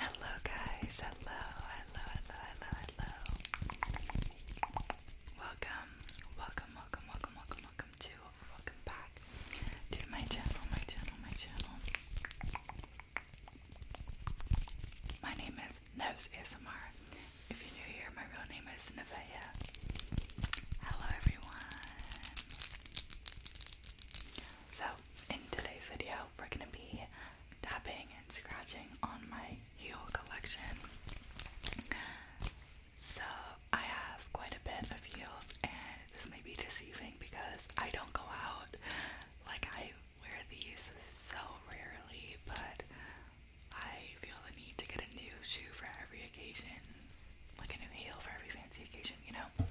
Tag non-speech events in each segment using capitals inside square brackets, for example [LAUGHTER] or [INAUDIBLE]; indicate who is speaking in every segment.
Speaker 1: Hello, guys. Hello, hello, hello, hello, hello. Welcome, welcome, welcome, welcome, welcome, welcome to, welcome back to my channel, my channel, my channel. My name is Nose ASMR. If you're new here, my real name is Nevaeh. Hello, everyone. So, in today's video, we're gonna be tapping and scratching on my heel collection. So, I have quite a bit of heels, and this may be deceiving because I don't go out. Like, I wear these so rarely, but I feel the need to get a new shoe for every occasion, like a new heel for every fancy occasion, you know?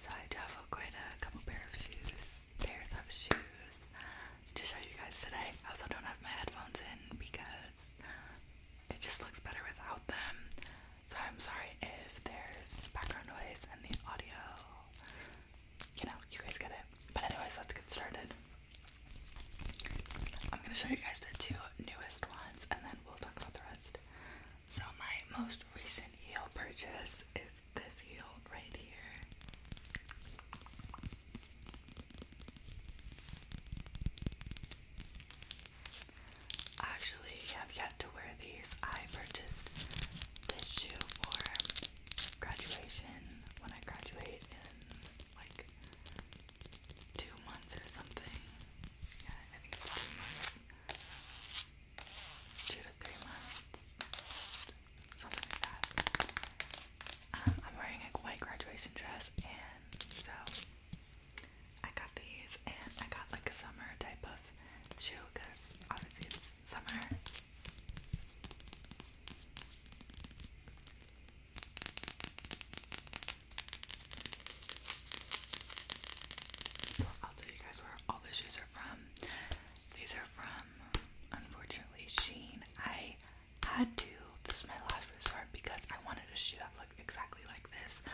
Speaker 1: So I do have quite a couple pair of shoes, pairs of shoes to show you guys today. I also don't have my headphones in because it just looks better without them. So I'm sorry if there's background noise and the audio. You know, you guys get it. But anyways, let's get started. I'm gonna show you guys the two newest ones and then we'll talk about the rest. So my most recent heel purchase is this heel right here. Actually, have yet to wear these. I purchased this shoe for graduation when I graduate in like two months or something two to three months, something like that. Um, I'm wearing a white graduation dress, and so I got these, and I got like a summer type of shoe because obviously it's summer tell you guys where all the shoes are from. These are from, unfortunately, Sheen. I had to. This is my last resort because I wanted a shoe that looked exactly like this.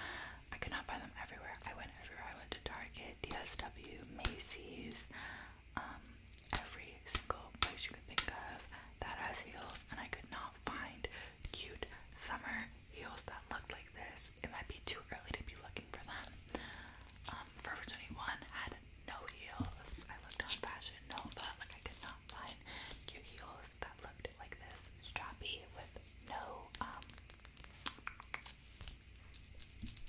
Speaker 1: I could not find them everywhere. I went everywhere. I went to Target, DSW, Macy's, um, every single place you could think of that has heels, and I could not find cute summer heels that looked like this. It might be too early to be looking for them. Um, Forever 21 had no heels. I looked on Fashion Nova, like I could not find cute heels that looked like this, strappy with no um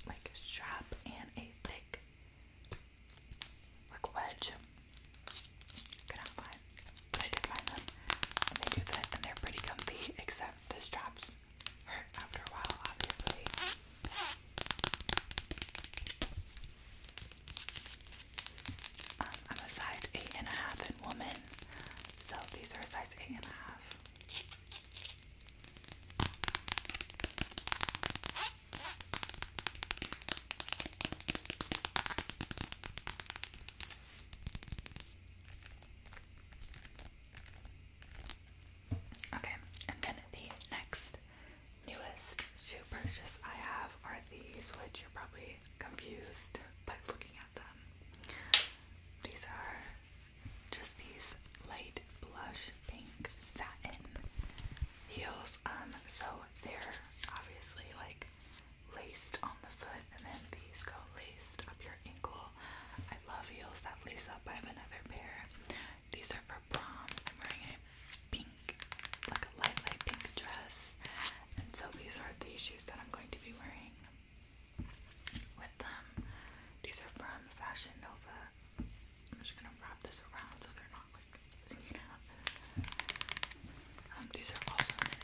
Speaker 1: like strap and a thick like wedge. Could not find. I did find them, they do fit, and they're pretty comfy, except the straps hurt after a while, obviously. Um, I'm a size eight and a half in woman, so these are a size eight and a half. Okay, and then the next newest shoe purchase I have are these, which you're probably confused by looking at them. These are just these light blush pink satin heels. Um, so they're obviously like laced on the foot, and then these go laced up your ankle. I love heels that lace up. I have another pair. These are for prom. I'm wearing a pink, like a light, light pink dress, and so these are the shoes that I'm going to be wearing with them. These are from Fashion Nova. I'm just gonna wrap this around so they're not like. Um, these are also an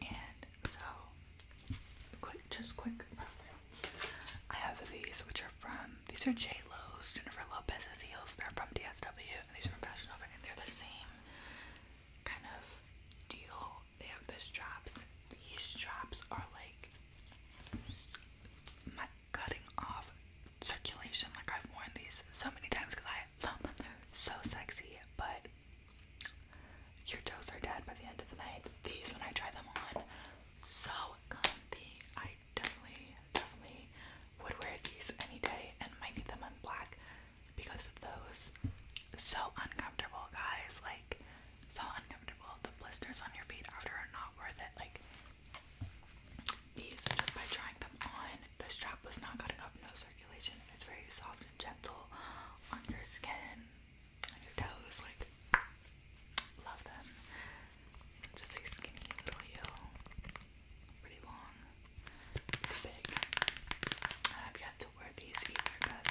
Speaker 1: and so, quick, just quick profile. I have these, which are from, these are J. Lo's, Jennifer Lopez's heels. They're from DSW, and these are from and they're the same kind of deal. They have the straps. These straps are like cutting off circulation. Like I've worn these so many times because so sexy, but your toes are dead by the end of the night. These, when I try them on, so comfy. I definitely, definitely would wear these any day and might get them in black because of those. So uncomfortable, guys. Like, so uncomfortable. The blisters on your feet after are not worth it. Like, these just by trying them on. The strap was not cutting off no circulation. It's very soft and gentle on your skin, on your toes. Like, love them. Just like skinny little heel, pretty long, pretty big. I've yet to wear these either because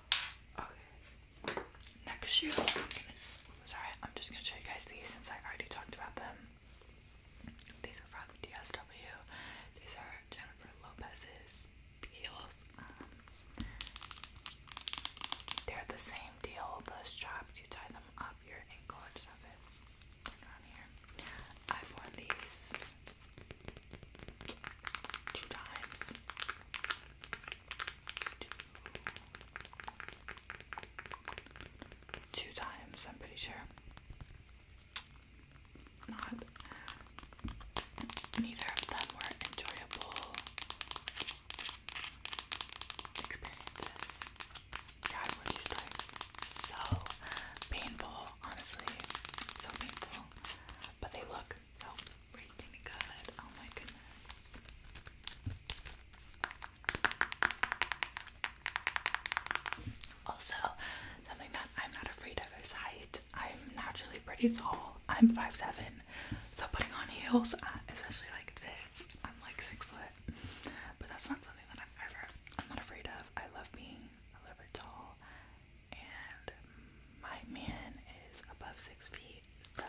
Speaker 1: Okay. Next shoe, I'm sorry, I'm just gonna show you guys these since I already talked about them. These are from DSW. These are Jennifer Lopez's heels. Um, they're the same deal. The strap, you tie them up your ankle and stuff it. Turn here. I've worn these two times. Two. times, I'm pretty sure. Not neither of them were enjoyable experiences. God, were these times so painful, honestly. So painful. But they look so freaking good. Oh my goodness. Also, something that I'm not afraid of is height. I'm naturally pretty tall. I'm 5'7", so putting on heels, uh, especially like this, I'm like six foot. But that's not something that I'm ever. I'm not afraid of. I love being a little bit tall and my man is above six feet, so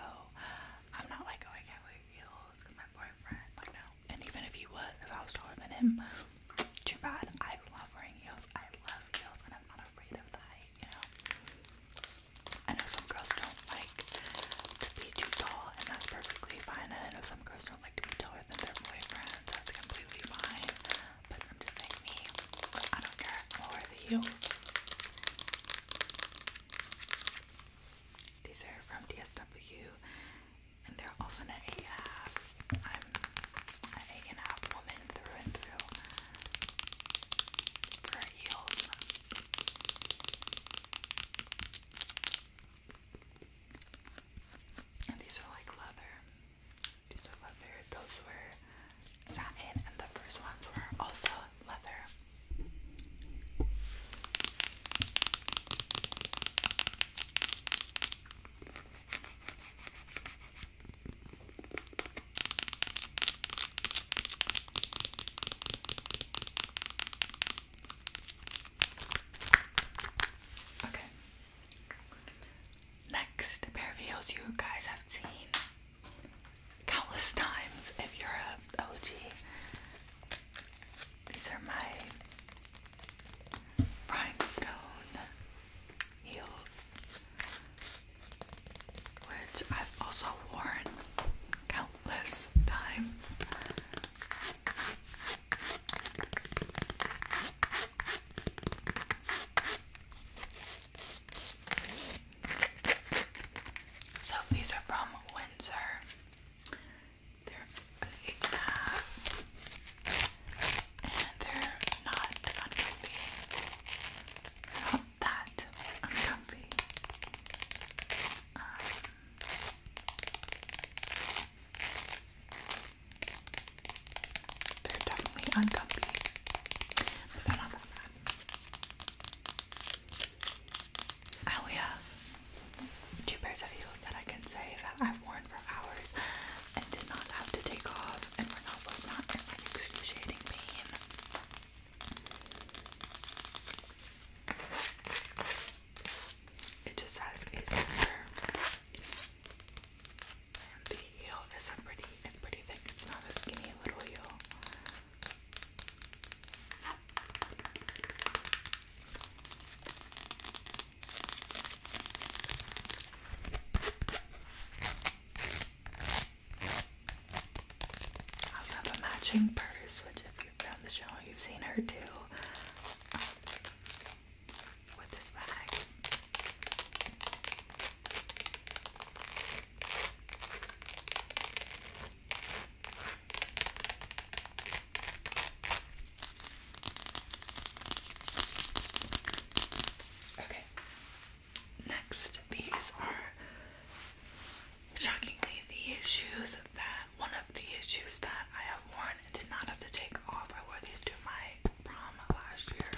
Speaker 1: I'm not like, oh, I heels because my boyfriend, like, no. And even if he was, if I was taller than him, too bad. I love wearing heels. I love heels, and I'm not afraid of the height, you know. I know some girls don't like to be too tall, and that's perfectly fine. And I know some girls don't like to be taller than their boyfriends. That's completely fine. But I'm just like me. I don't care. More the heels. These are from DSW and they're also an eight and a half. I'm an eight and a half woman through and through. For heels. And these are like leather. These are leather. Those were satin, and the first ones were also leather. Okay, Next pair of heels you guys have seen countless times if you're a OG. These are my rhinestone heels, which I've also worn countless times. So these are from Windsor. They're eight and a half, and they're not uncomfy. not that uncomfy. Um, they're definitely uncomfy, but they're not that bad. I only have two pairs of heels that I can say that I've worn for hours and did not have to take off and were not in like excruciating pain. It just says a the heel is a pretty, it's pretty thick. It's not a skinny little heel. I also have a matching purse, which if you've been on the channel, you've seen her too. Okay. Next, these are shockingly the shoes that one of the shoes that I have worn and did not have to take off. I wore these to my from last year.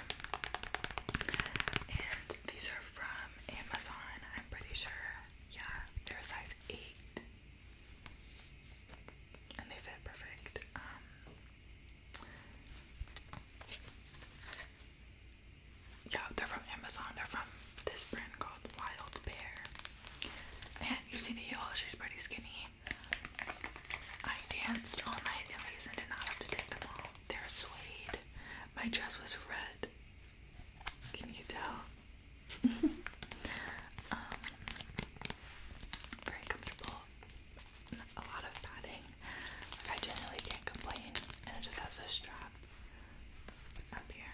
Speaker 1: And these are from Amazon, I'm pretty sure. Yeah, they're size 8. And they fit perfect. Um, yeah, they're from Amazon. They're from this brand called Wild Bear. And you see the heel, she's pretty skinny. I danced all night in these and did not have to take them all. They're suede. My dress was red. Can you tell? [LAUGHS] Um, very comfortable. A lot of padding. I generally can't complain, and it just has a strap up here.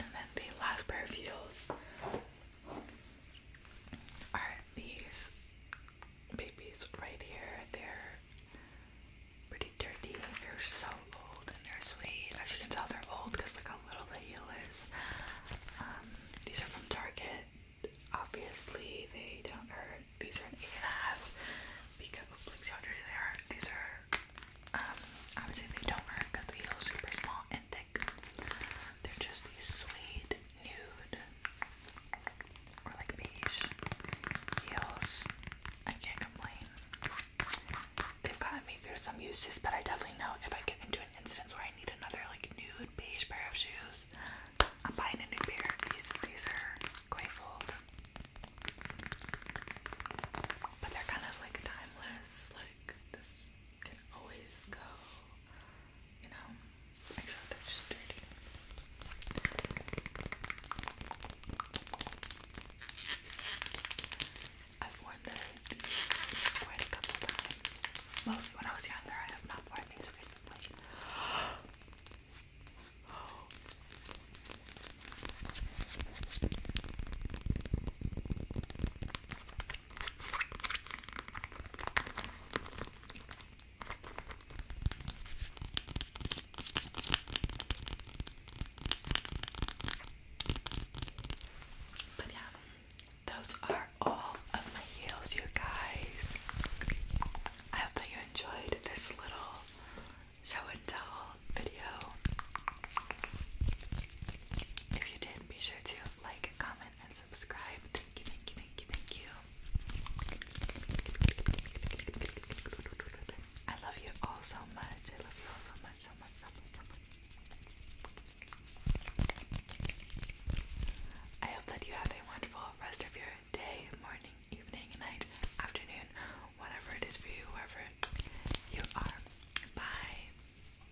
Speaker 1: And then the last pair of heels are these babies right here. They're pretty dirty. They're so old and they're sweet. As you can tell, they're old because look how little the heel is. Um, these are from Target. Obviously, they don't hurt. These are an eight and a half because like see how dirty they are. These are um, obviously they don't hurt because the heel's super small and. Thin. They're just these sweet nude or like beige heels. I can't complain. They've gotten me through some uses, but I definitely know if I get into an instance where I need another like nude beige pair of shoes, I'm buying a new pair. These these are quite old, but they're kind of like timeless. Like this can always go you know, except that's just dirty. I've worn these quite a couple times. Mostly when I was younger, I have not worn these recently. But yeah, those are all of my heels, you guys. I hope that you enjoyed this little show and tell video. If you did, be sure to like, and comment, comment, and subscribe. Thank you, thank you, thank you, thank you. I love you all so much. I love you all so much, so much, so much, so much. I hope that you have a wonderful rest of your day, morning, evening, night, afternoon, whatever it is for you, wherever you are. Bye.